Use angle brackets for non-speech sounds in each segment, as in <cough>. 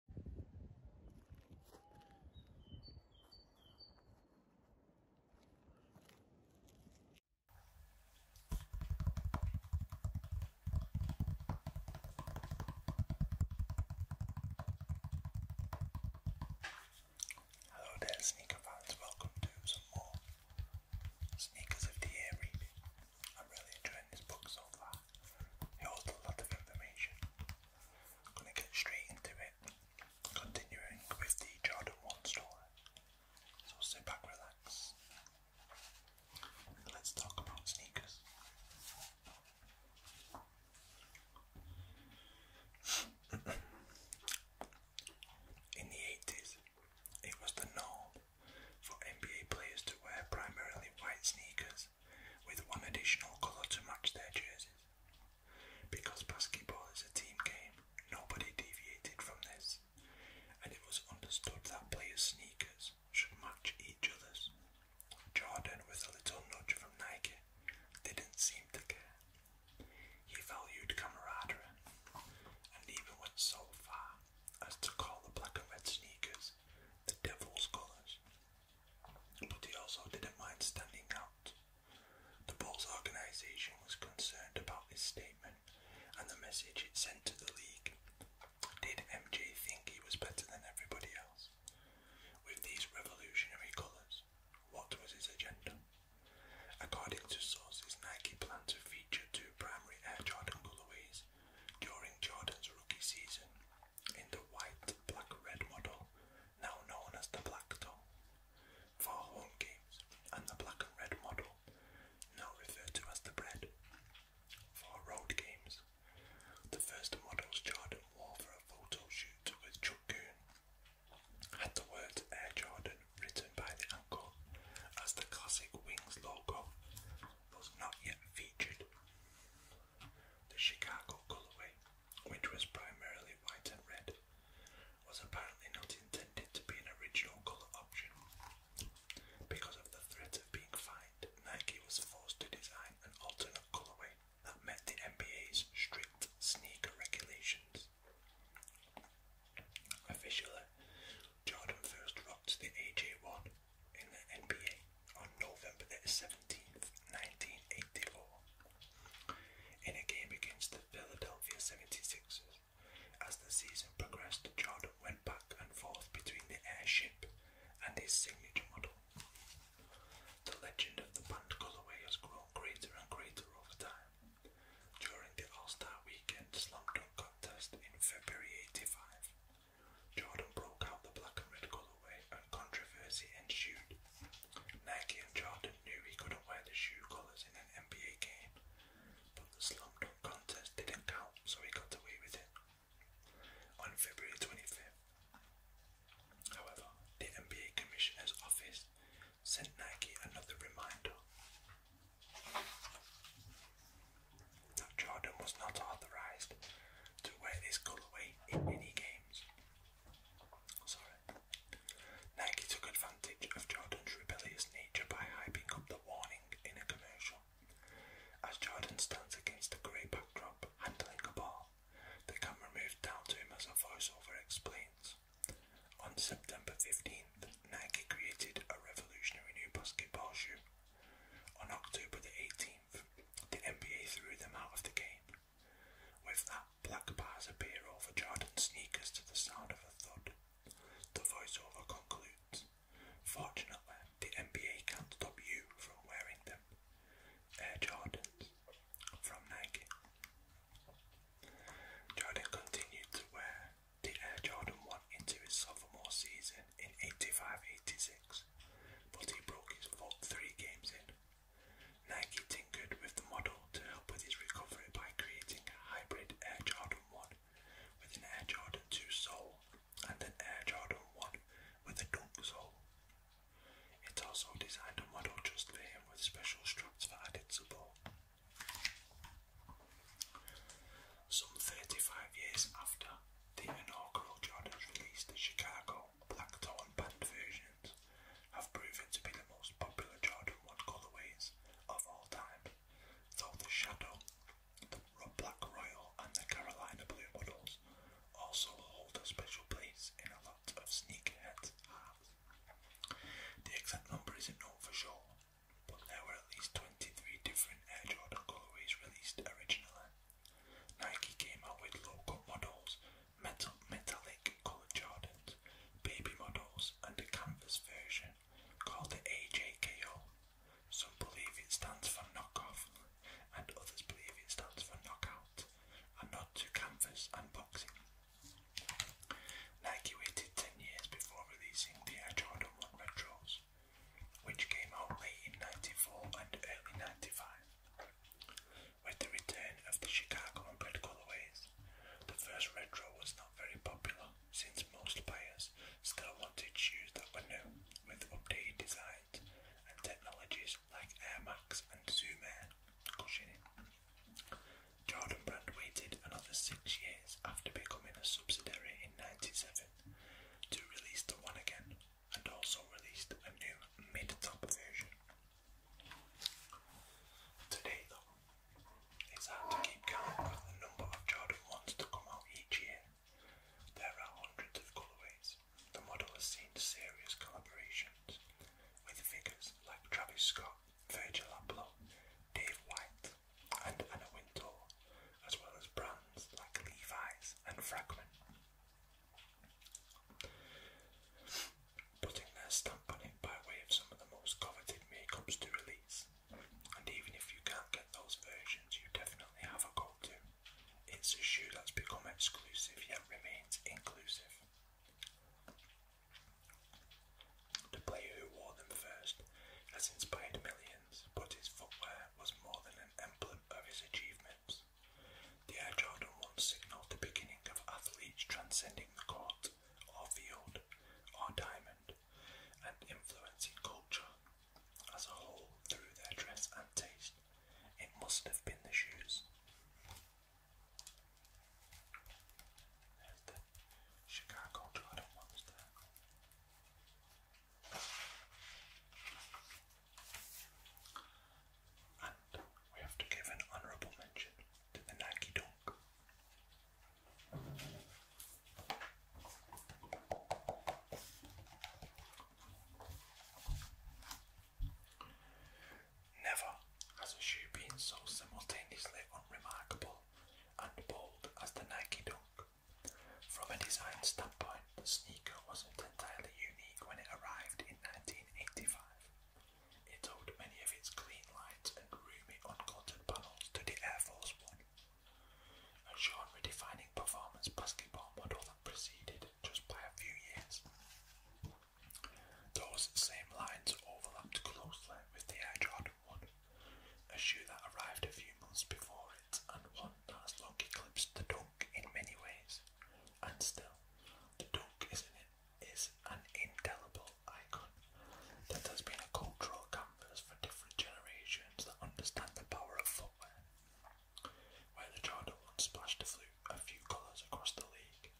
Hello there, sneaker fans. Welcome to some more Sneakers of the Year I'm really enjoying this book so far. It a lot of information. I'm going to get straight into it, continuing with the Jordan 1 story. So sit back, relax. Let's talk about sneakers. <clears throat> In the 80s, it was the norm for NBA players to wear primarily white sneakers with one additional colour to match their jerseys. Because basketball is a team game, nobody deviated from this, and it was understood that players' sneakers should match each other's. Jordan, with a little nudge from Nike, didn't seem to care. He valued camaraderie, and even went so far as to call the black and red sneakers the devil's colours but he also didn't mind standing out. The Bulls organization was concerned about his statement and the message it sent to the league. Did MJ think he was better than everybody else? With these revolutionary colours, what was his agenda? According to sources, Nike planned to feature two primary Air Jordan colorways during Jordan's rookie season in the white black red model, now known as the Black Doll, for home games, and the black and red model, now referred to as the Bread, for road games. The first models Jordan wore for a photo shoot with Chuck E. had the words Air Jordan written by the ankle as the classic Wings logo was not yet featured. The Chicago colorway, which was primarily white and red, was apparently not intended to be an original color option. Because of the threat of being fined, Nike was forced to design an alternate colorway that met the NBA's strict sneaker regulations. Officially, Jordan first rocked the AJ1 in the NBA on November the 1984, in a game against the Philadelphia 76ers. As the season progressed, Jordan went back and forth between the airship and his signature model. The legend of the band colorway has grown greater and greater over time. During the All Star Weekend Slam Dunk contest in February '85, Jordan broke out the black and red colorway and controversy ensued. Nike and Jordan knew he couldn't wear the shoe colors in an NBA game, but the slam dunk contest didn't count, so he got away with it. On February 25th, however, the NBA Commissioner's Office sent Nike another reminder that Jordan was not authorized to wear this colorway in any game games. Nike took advantage of Jordan's rebellious nature by hyping up the warning in a commercial. As Jordan stands against a grey backdrop, handling a ball, the camera moves down to him as a voiceover explains. On September 15th, Nike created a revolutionary new basketball shoe. On October the 18th, the NBA threw them out of the game with that, black bars appear over Jordan's sneakers to the sound of a thud. The voiceover concludes. Fortunately, the NBA can't stop you from wearing them. Air Jordans from Nike. Jordan continued to wear the Air Jordan 1 into his sophomore season in 85 86, but he broke his foot three games in, Nike tinkered with the model to help with his recovery by creating a hybrid Air Jordan 1 with an Air Jordan 2 sole and an Air Jordan 1 with a dunk sole. It also designed a model just for him with special straps for added support. Some 35 years after the inaugural Jordans released in Chicago Blackthorn, and band versions have proven to be the most popular Jordan 1 colorways of all time, though the Shadow, the Black Royal and the Carolina Blue models also hold a special place in a lot of sneakerhead hearts. The exact number isn't known for sure, but there were at least 23 different Air Jordan colorways released originally, Nike came out with local models, metal, metallic coloured Jordans, baby models, and a canvas version called the AJKO. Some believe it stands for knockoff, and others believe it stands for knockout, and not to canvas unboxing. Nike waited 10 years before releasing the Air Jordan 1 Retros, which came out late in 94 and early 95. With the return of the Chicago and red colorways, the first retro was not very popular since most players still wanted shoes that were new with updated designs and technologies like Air Max and Zoom Air cushioning. Jordan Brand waited another six years after becoming a subsidiary in 97 to release the one again and also released a new mid-top version. Today though, it's hard to keep count with the number of Jordan 1s to come out each year. There are hundreds of colourways. The model has seen serious collaborations with figures like Travis Scott, Virgil Abloh, Dave White, and Anna Wintour, as well as brands like Levi's and Fragment putting their stamp on it by way of some of the most coveted makeups to release. And even if you can't get those versions, you definitely have a go to. It's a shoe that's become exclusive yet remains inclusive. The player who wore them first has inspired millions, but his footwear was more than an emblem of his achievements. The Air Jordan 1 signalled the beginning of athletes transcending the court, or field, or diamond, and influencing culture as a whole through their dress and taste. It must have been the shoes. the Chicago Jordan ones and we have to give an honourable mention to the Nagi Dog. Never has a shoe been so simultaneously unremarkable and bold as the Nike Dunk. From a design standpoint, the sneaker wasn't entirely unique when it arrived in 1985. It owed many of its clean lights and roomy uncluttered panels to the Air Force One, a genre-defining performance basketball model that preceded just by a few years. Those same lines overlapped closely with the Air Jordan 1, a shoe that arrived a few months before it and one that has long eclipsed the dunk in many ways, and still, the Duke isn't it is an, is an indelible icon that has been a cultural canvas for different generations that understand the power of footwear. Where the Jordan splashed a, a few colours across the league,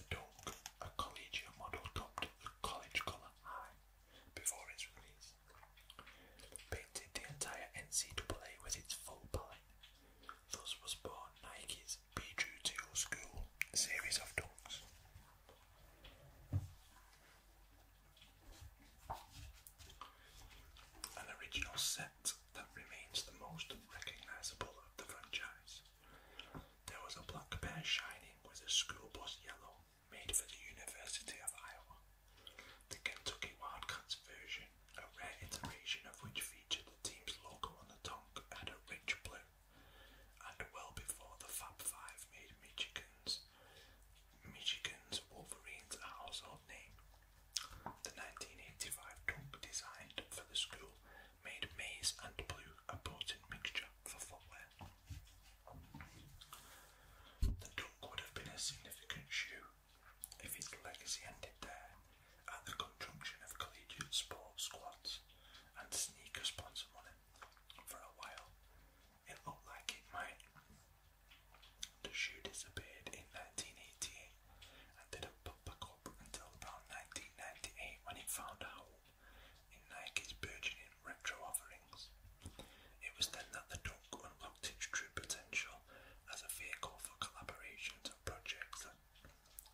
the Duke, a collegiate model, topped the college colour high before its release. Painted the entire NCAA with its full palette Thus was born Nike's Be School series of dunks. An original set that remains the most recognisable of the franchise. There was a black bear shining with a school bus yellow made for the University of Iowa. The Kentucky Wildcats version a rare iteration of which featured the team's logo on the tongue and a rich blue. And well before the Fab Five made Michigan's, Michigan's Wolverines a household name, the 1985 dunk designed for the school made maize and blue a potent mixture for footwear. The dunk would have been a significant shoe if its legacy ended there, at the conjunction of collegiate sports squads and sneaker sponsor money for a while. It looked like it might. The shoe disappeared in 1988 and didn't pop back up until about 1998 when it found a hole in Nike's burgeoning retro offerings. It was then that the Dunk unlocked its true potential as a vehicle for collaborations and projects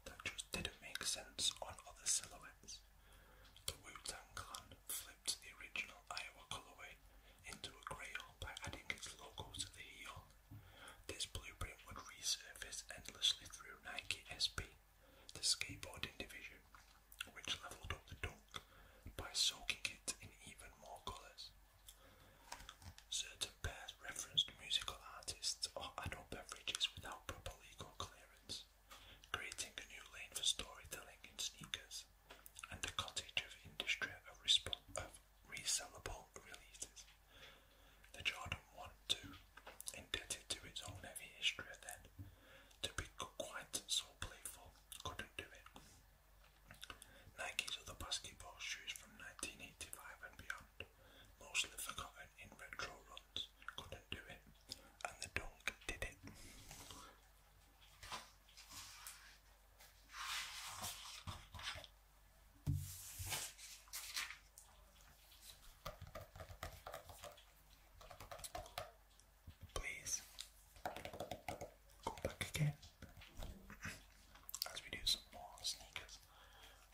that just didn't make sense on other silhouettes. The Wu Tang Clan flipped the original Iowa colorway into a grey by adding its logo to the heel. This blueprint would resurface endlessly through Nike SB, the skateboard division, which leveled up the dunk by soaking it in even more colours. Certain to bear musical artists or adult beverages without proper legal clearance, creating a new lane for storytelling in sneakers and a cottage of industry of resellable releases. The Jordan 1 2, indebted to its own heavy history then, to be quite so playful, couldn't do it. Nike's other basketball shoes from 1985 and beyond mostly forgotten in retro runs, couldn't do it, and the dunk did it. Please go back again as we do some more sneakers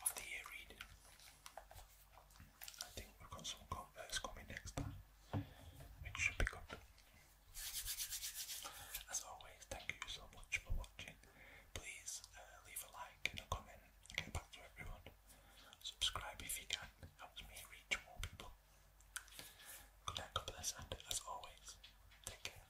of the year read. I think we've got some Converse coming next time, which should be good. As always, thank you so much for watching. Please uh, leave a like and a comment. Get back to everyone. Subscribe if you can. Helps me reach more people. Good night, God and as always, take care.